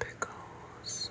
Pickles.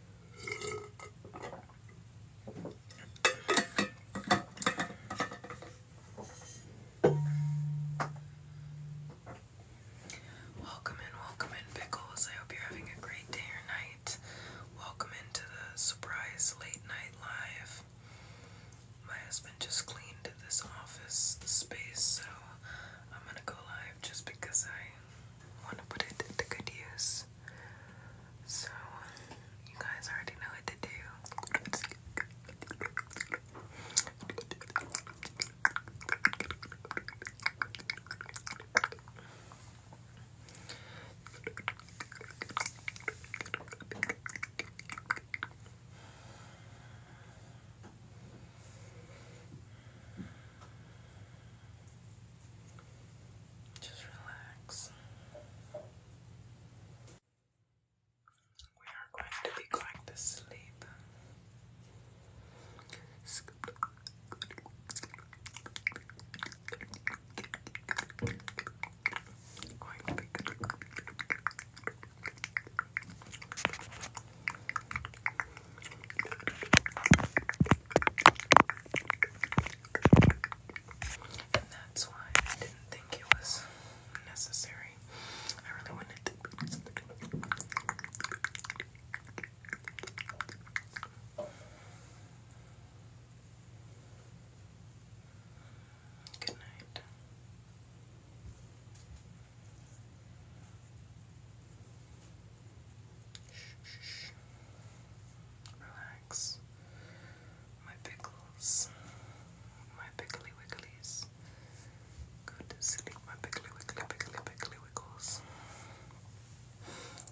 Welcome in, welcome in, Pickles. I hope you're having a great day or night. Welcome into the surprise late night live. My husband just cleaned this office space, so I'm gonna go live just because I want to put it to good use. So, you guys already know what to do. Just relax. We are going to be going to sleep. And that's why I didn't think it was necessary. I really wanted to. Good night. Shh, shh. Relax. My pickles. My pickly wigglies. Go to sleep, my pickly wiggly, pickly, pickly wiggles.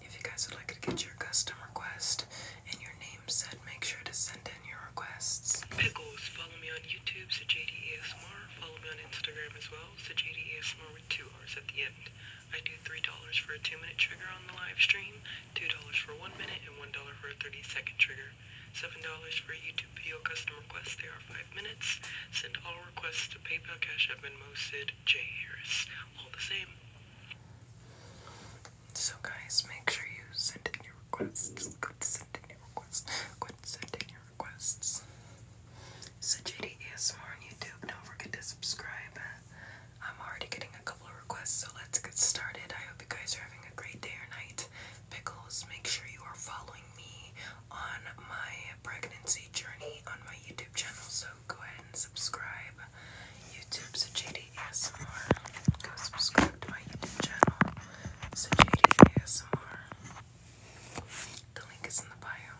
If you guys would like to get your custom request and your name said, make sure to send in your requests. Pickles, follow me on YouTube, so JDASMR. Follow me on Instagram as well, so JDASMR with two R's at the end. I do $3 for a 2 minute trigger on the live stream, $2 for 1 minute, and $1 for a 30 second trigger. $7 for a YouTube video custom request, they are 5 minutes. Send all requests to PayPal, Cash App, and Sid J. Harris. All the same. So guys, make sure you send in your requests. Go to send in your requests. Go to send in your requests. So JD ASMR on YouTube, don't forget to subscribe. I'm already getting a couple of requests, so let's get started. I hope you guys are having a great day or night. Pickles, make sure you are following me on my pregnancy journey on my YouTube channel, so go ahead and subscribe. YouTube's JD ASMR. Go subscribe to my YouTube channel, so JD ASMR. The link is in the bio.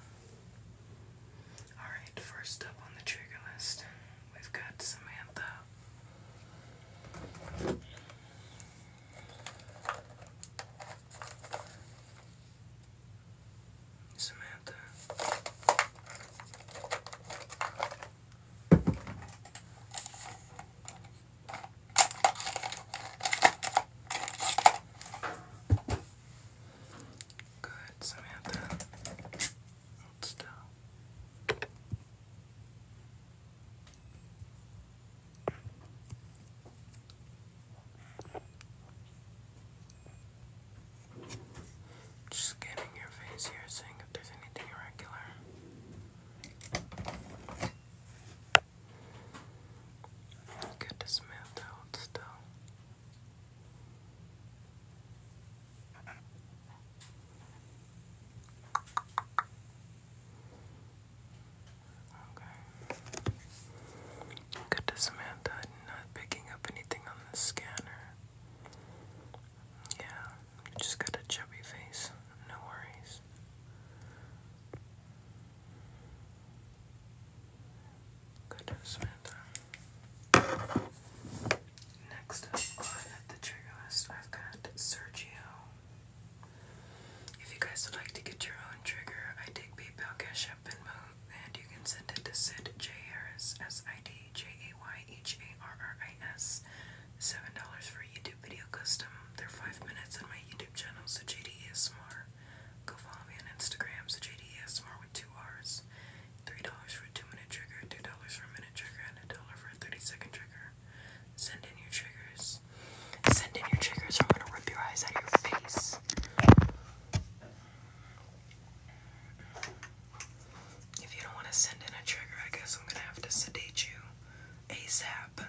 Alright, first up on the trigger list, we've got Samantha. Samantha. Good, Samantha. Just scanning your face here, seeing if there's anything irregular. Good to smooth out still. Okay. Good to Samantha not picking up anything on the scanner. Yeah, just got a chubby face. No worries. Go to Samantha. Next on the trigger list, I've got Sergio. If you guys would like to get your own trigger, I take PayPal, Cash App, and Move, and you can send it to Sid J Harris S I D J A Y H A R R I S. Seven dollars for YouTube video custom. They're five minutes on my YouTube channel, so JDESMR. Go follow me on Instagram, so JDESMR with two R's three dollars for a two minute trigger, two dollars for a minute trigger, and a dollar for a 30 second trigger. Send in your triggers. Send in your triggers, or I'm gonna rip your eyes out of your face. If you don't want to send in a trigger, I guess I'm gonna have to sedate you ASAP.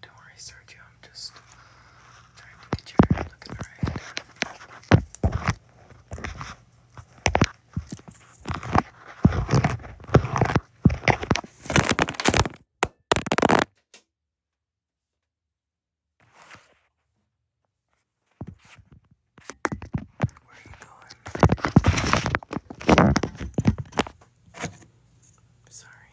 Don't worry, Sergio. I'm just trying to get your hair looking right. Where are you going? Sorry.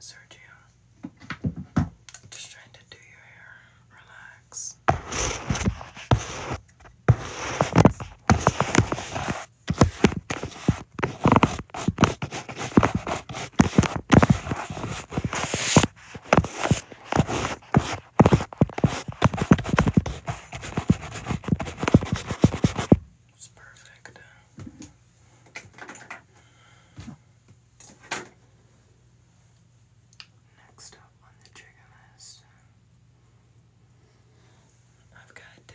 Sergio, just trying to do your hair. Relax. It's perfect. Next up on the trigger I've got the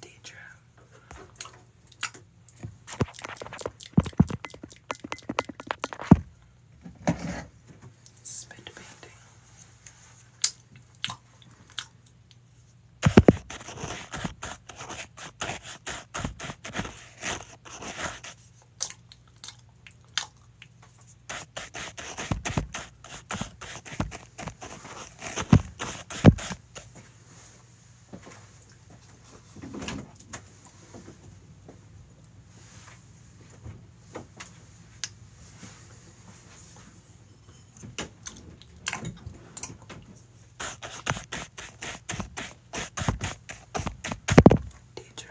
Deidre. Spit painting. Teacher,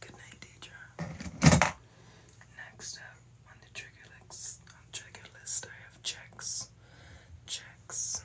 Good night, Next up on the trigger list, I have checks. Checks.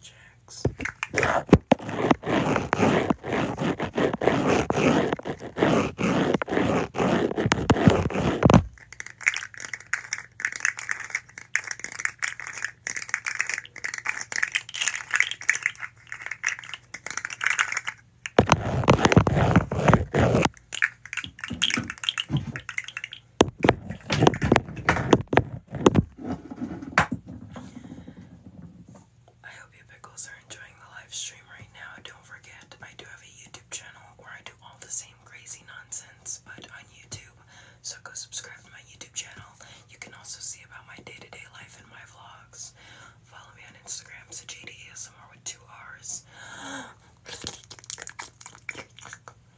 checks. I hope you pickles are enjoying the live stream right now. Don't forget, I do have a YouTube channel where I do all the same crazy nonsense, but on YouTube. So go subscribe to my YouTube channel. You can also see about my day-to-day life and my vlogs. Follow me on Instagram, so JDASMR with two R's.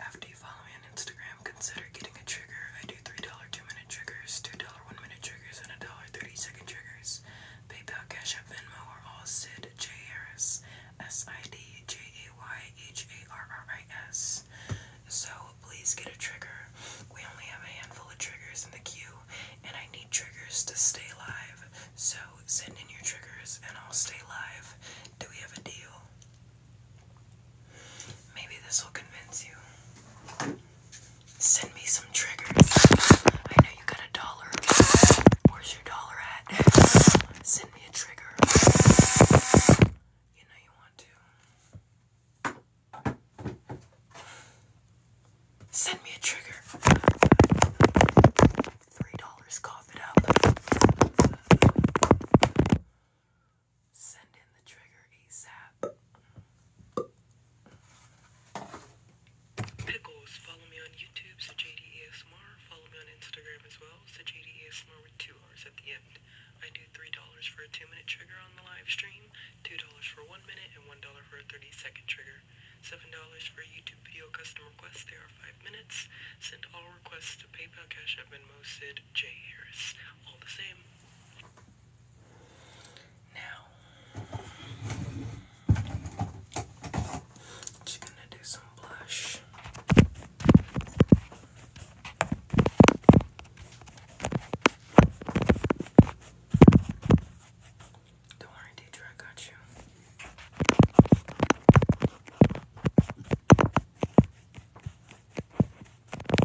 After you me on Instagram, consider getting a trigger. I do $3 2 minute triggers, $2 1 minute triggers, and $1.30 second triggers. PayPal, Cash App, Venmo are all Sid J. Harris. S I D J A Y H A R R I S. So please get a trigger. We only have a handful of triggers in the queue, and I need triggers to stay live. So send in your triggers and I'll stay live. Do we have a deal? Maybe this will convince you. Send me some triggers. I know you got a dollar. Where's your dollar at? Send me a trigger. You know you want to. Send me a trigger. Three dollars, cough it up. Send in the trigger ASAP. Pickles, follow me on YouTube, Sajadi ASMR. Follow me on Instagram as well, Sajadi ASMR with two R's at the end. I do $3 for a 2 minute trigger on the live stream, $2 for 1 minute, and $1 for a 30 second trigger. $7 for YouTube video custom requests, they are 5 minutes. Send all requests to PayPal, Cash App, and Sid and J Harris, all the same. Now, i gonna do some blush. Don't worry, Deidre, I got you. Good.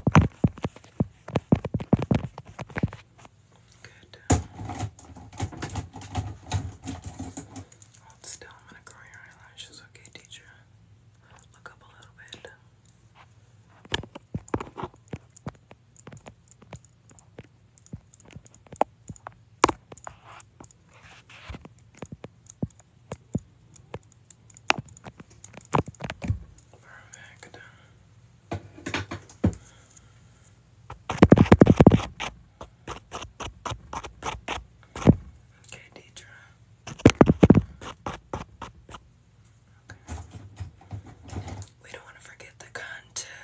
Hold still. I'm gonna curl your eyelashes. Okay, teacher. Look up a little bit. Perfect. Okay, Deidre. We don't want to forget the contour.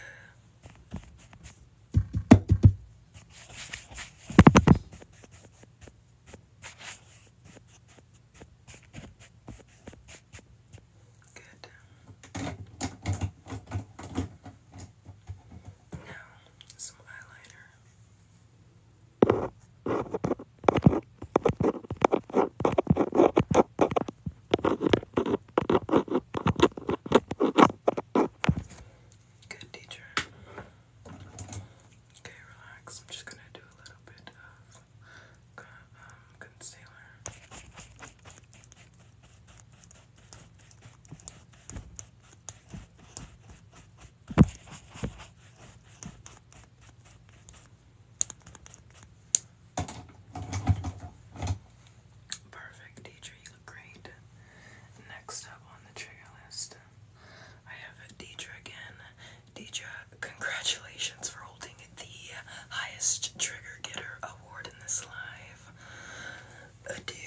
Good. Now, some eyeliner. Good teacher. Okay, relax. I'm just gonna do a little bit of um, concealer. Perfect, teacher. You look great. Next up on the trigger list I have Deidre again. Deidre, congratulations for holding the highest trigger getter award in this live. Adieu.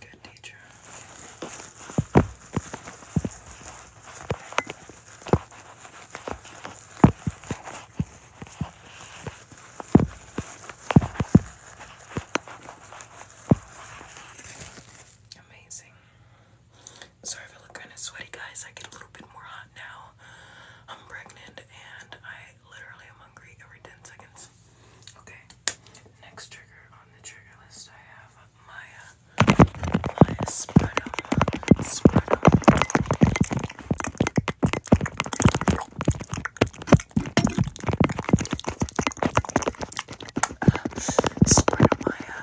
Good teacher. Amazing. Sorry if I look kind of sweaty, guys. I get a little bit more hot now. I'm pregnant and I literally am hungry every 10 seconds. Okay, next trigger on the trigger list I have Maya. Maya Spreadum. Spreadum. Spreadum Maya.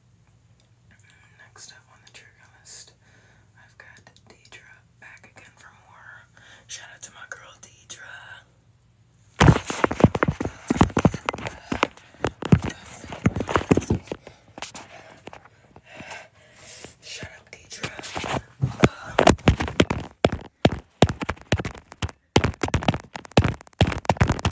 Next up on the trigger list, I've got Deidre back again for more. Shout out to my girl Deidre. Shut up, Deidra. Uh,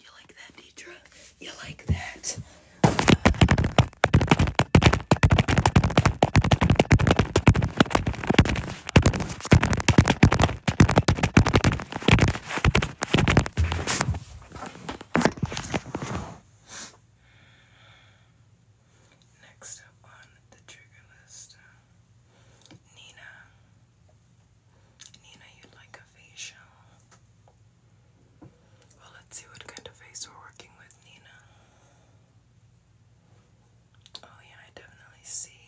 You like that, Deidre? You like that? Next up on the trigger list, Nina. Nina, you'd like a facial? Well, let's see what kind of face we're working with, Nina. Oh, yeah, I definitely see.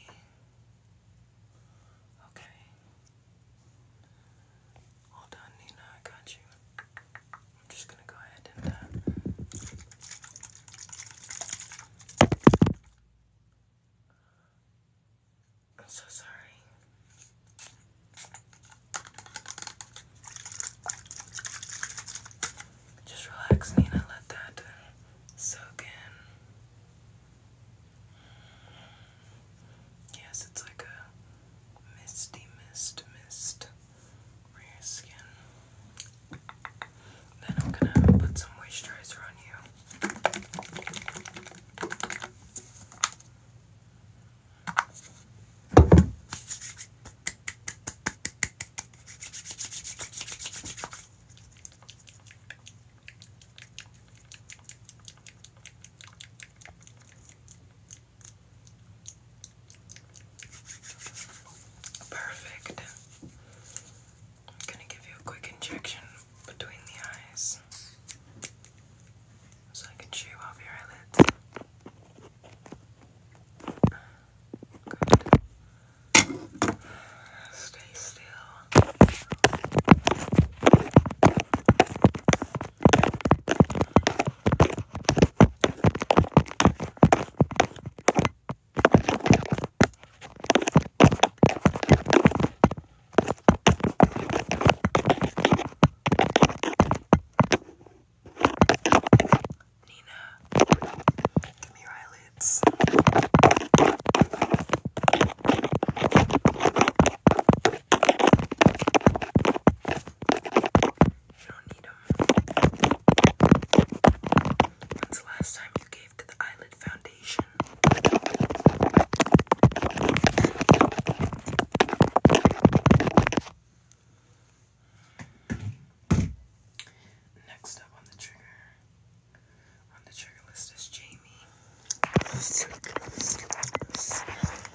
Okay. Hold on, Nina, I got you. I'm just gonna go ahead and uh... I'm so sorry. Just relax, Nina, let that soak in. Yes, it's like a misty mist, mist skin. Then I'm gonna put some moisturizer on you. Perfect. gonna give you a quick injection between the eyes so I can shave off your eyelids. Stay still. Nina, give me your eyelids. You don't need them. When's the last time you gave to the eyelid foundation? Next up on the trigger, on the trigger list is Jamie.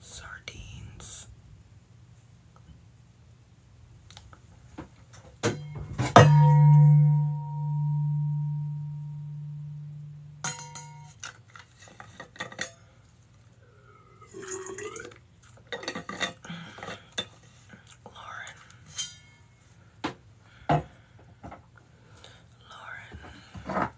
sardines. Lauren. Lauren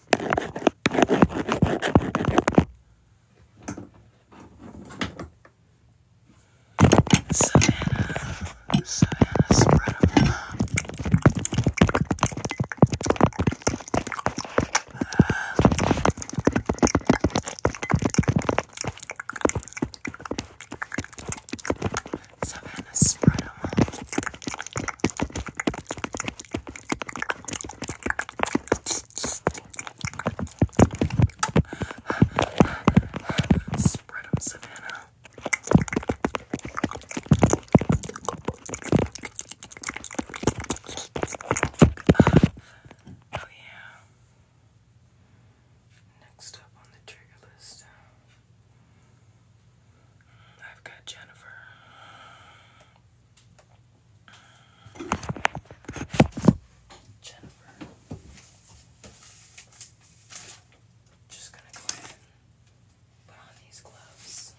Savannah, Savannah, spread them. Savannah, spread them. Spread Savannah. Oh, yeah. Next up on the trigger list, I've got Jennifer. Jennifer. Just gonna go ahead put on these gloves.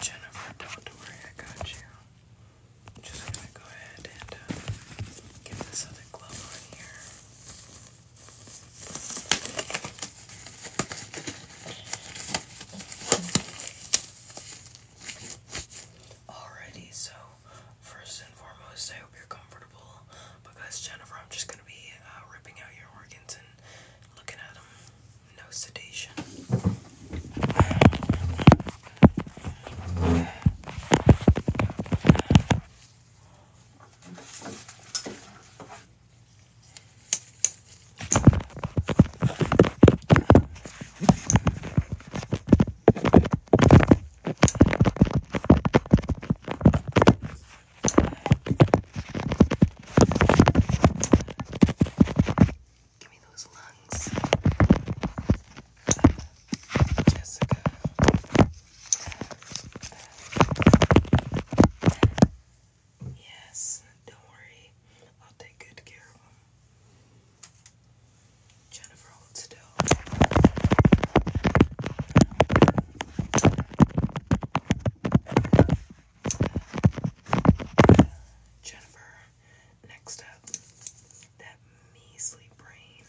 Jennifer, don't worry, I got you. just gonna go ahead and uh, get this other glove on here. Alrighty, so first and foremost, I hope you're comfortable because Jennifer, I'm just gonna be uh, ripping out your organs and looking at them no sedation. Give me those lungs. Jessica. Yes, don't worry. I'll take good care of them. Jennifer, hold still. Jennifer, next up, that measly brain.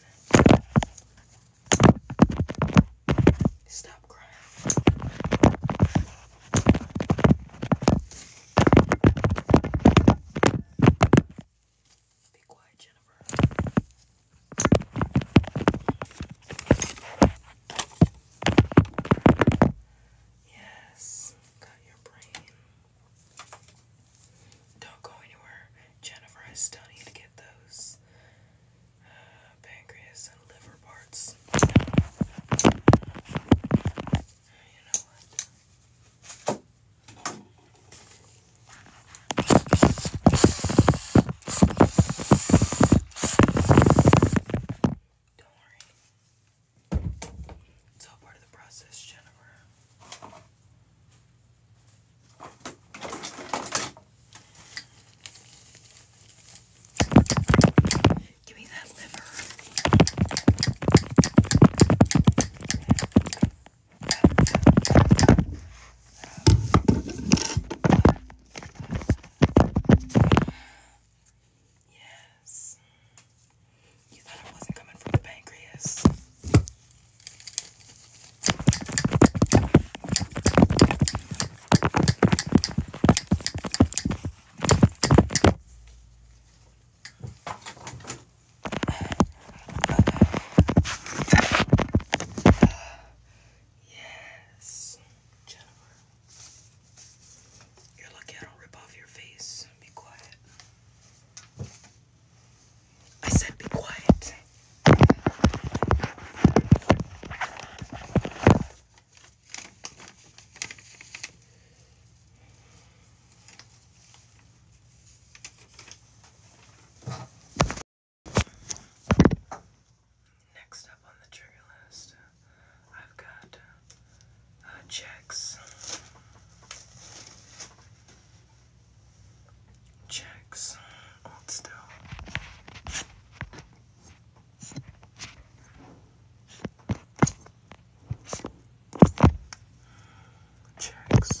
Stop crying. Be quiet, Jennifer. Yes, got your brain. Don't go anywhere. Jennifer, I still need to get those uh, pancreas and liver parts. Don't worry. It's all part of the process, Jennifer. Give me that liver. Yes. You thought it wasn't coming from the pancreas. yes, you're lucky I don't rip off your face. Be quiet. I said be quiet. Next up on the trigger list I've got uh, uh, checks, checks, still. Checks.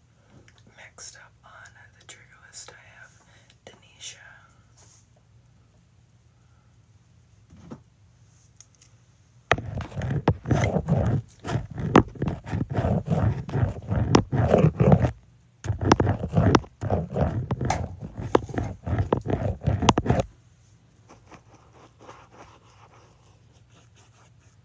Mixed up on the trigger list, I have Denisha.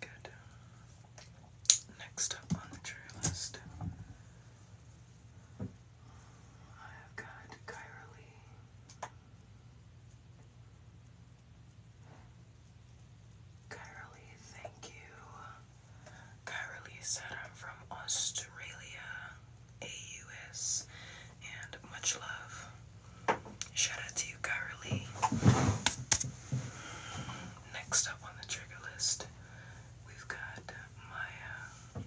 Good. Next up on the trigger list, I have got Kyra Lee. thank you Kylie said, I'm from Australia, AUS, and much love. Shout out to you, Kylie. Next up on the trigger list, we've got Maya.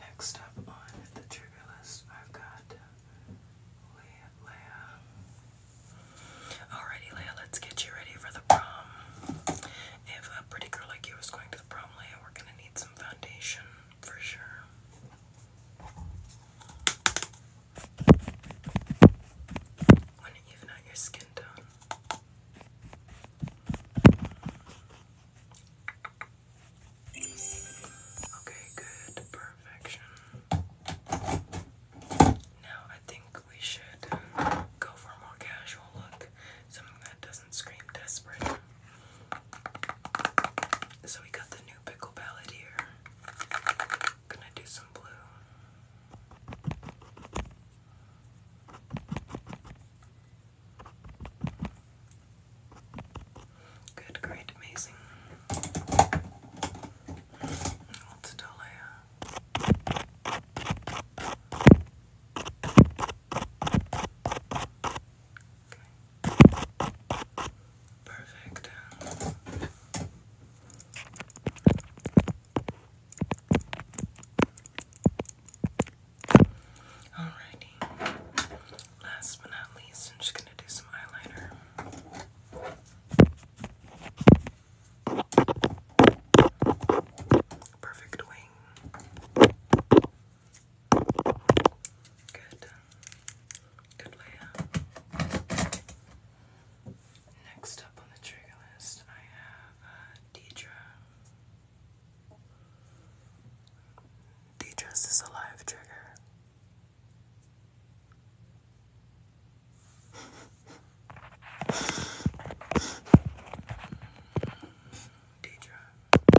Next up on the trigger list, I've got Leia. Alrighty, Leia, let's get you ready for the prom. If a pretty girl like you is going to the prom, Leia, we're gonna need some foundation for sure. Want to even out your skin tone. Okay, good. Perfection. Now I think we should go for a more casual look. Something that doesn't scream desperate. So we got the new pickle palette here. Gonna do some blue. Good, great, amazing. What's Good, Perfect. Alrighty. Last but not least, I'm just gonna do some eyeliner. Perfect wing. Good. Good layout. Next up on the trigger list, I have uh, Deidre. Deidre's is a live trigger. Deidre.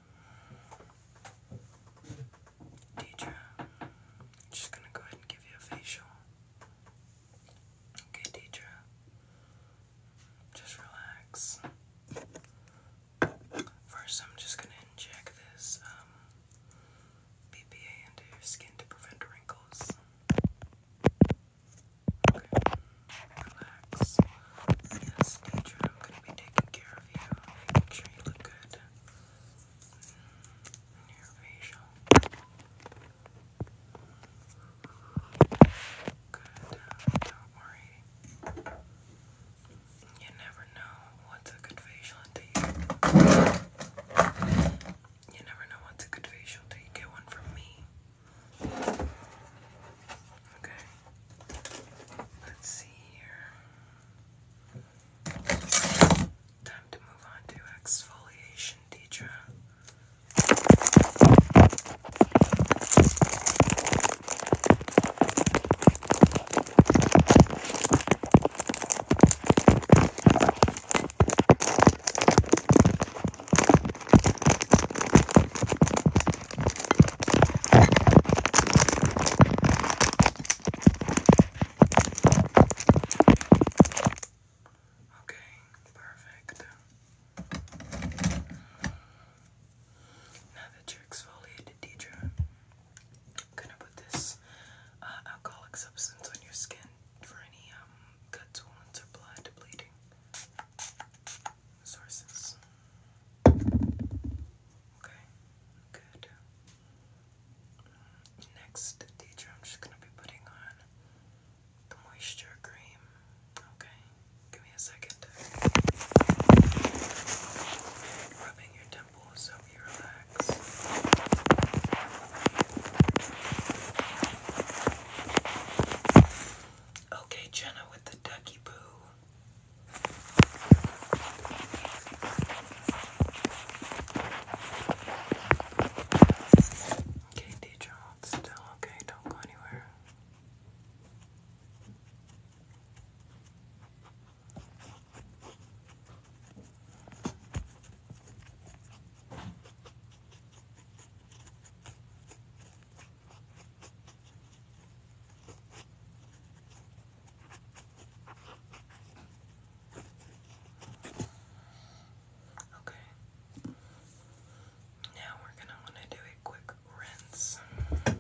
Deidre, I'm just gonna go ahead and give you a facial. Okay, Deidre, just relax. First, I'm just gonna inject this BPA um, into your skin to prevent wrinkles relax. Yes, nature, I'm gonna be taking care of you, making sure you look good. your facial. Good, don't worry. You never know what's a good facial until you You never know what's a good facial until you get one from me. Okay. Let's see here. Time to move on to exfoliation, Deidre. Okay, perfect. Now that you're exfoliated, Deidre, I'm gonna put this uh, alcoholic substance on your skin for any cuts, um, wounds, or blood bleeding sources. Okay, good. Next, teacher, I'm just gonna be putting on the moisture cream. Okay, give me a second. Rubbing your temples so you relax. Okay, Jenna with the ducky boo. Okay, teacher, hold still. Okay, don't go anywhere. Okay. Now we're going to want to do a quick rinse. Okay.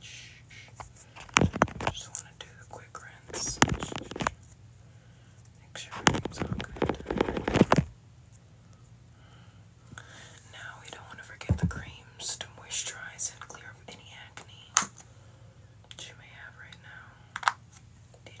Just want to do a quick rinse. Make sure everything's all good. Now we don't want to forget the creams to moisturize and clear up any acne that you may have right now. Did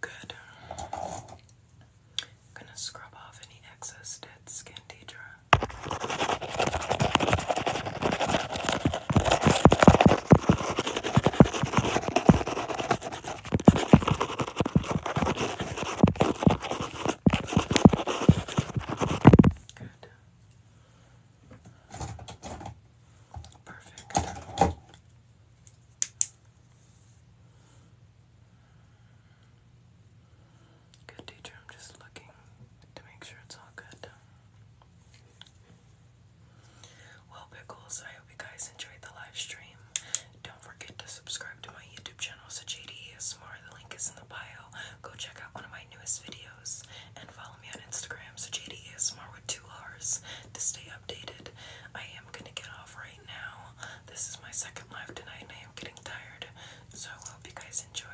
Good. gonna scrub off any excess dead skin, Deidre. Good. Perfect. Good teacher, I'm just looking to make sure it's all good. Well, Pickles, I hope you guys enjoyed the live stream. Don't forget to subscribe to my YouTube channel, Sajid ASMR. The link is in the bio. Go check out one of my newest videos and follow me on Instagram, so JDASMR with two R's to stay updated. I am gonna get off right now. This is my second live tonight and I am getting tired, so hope you guys enjoyed.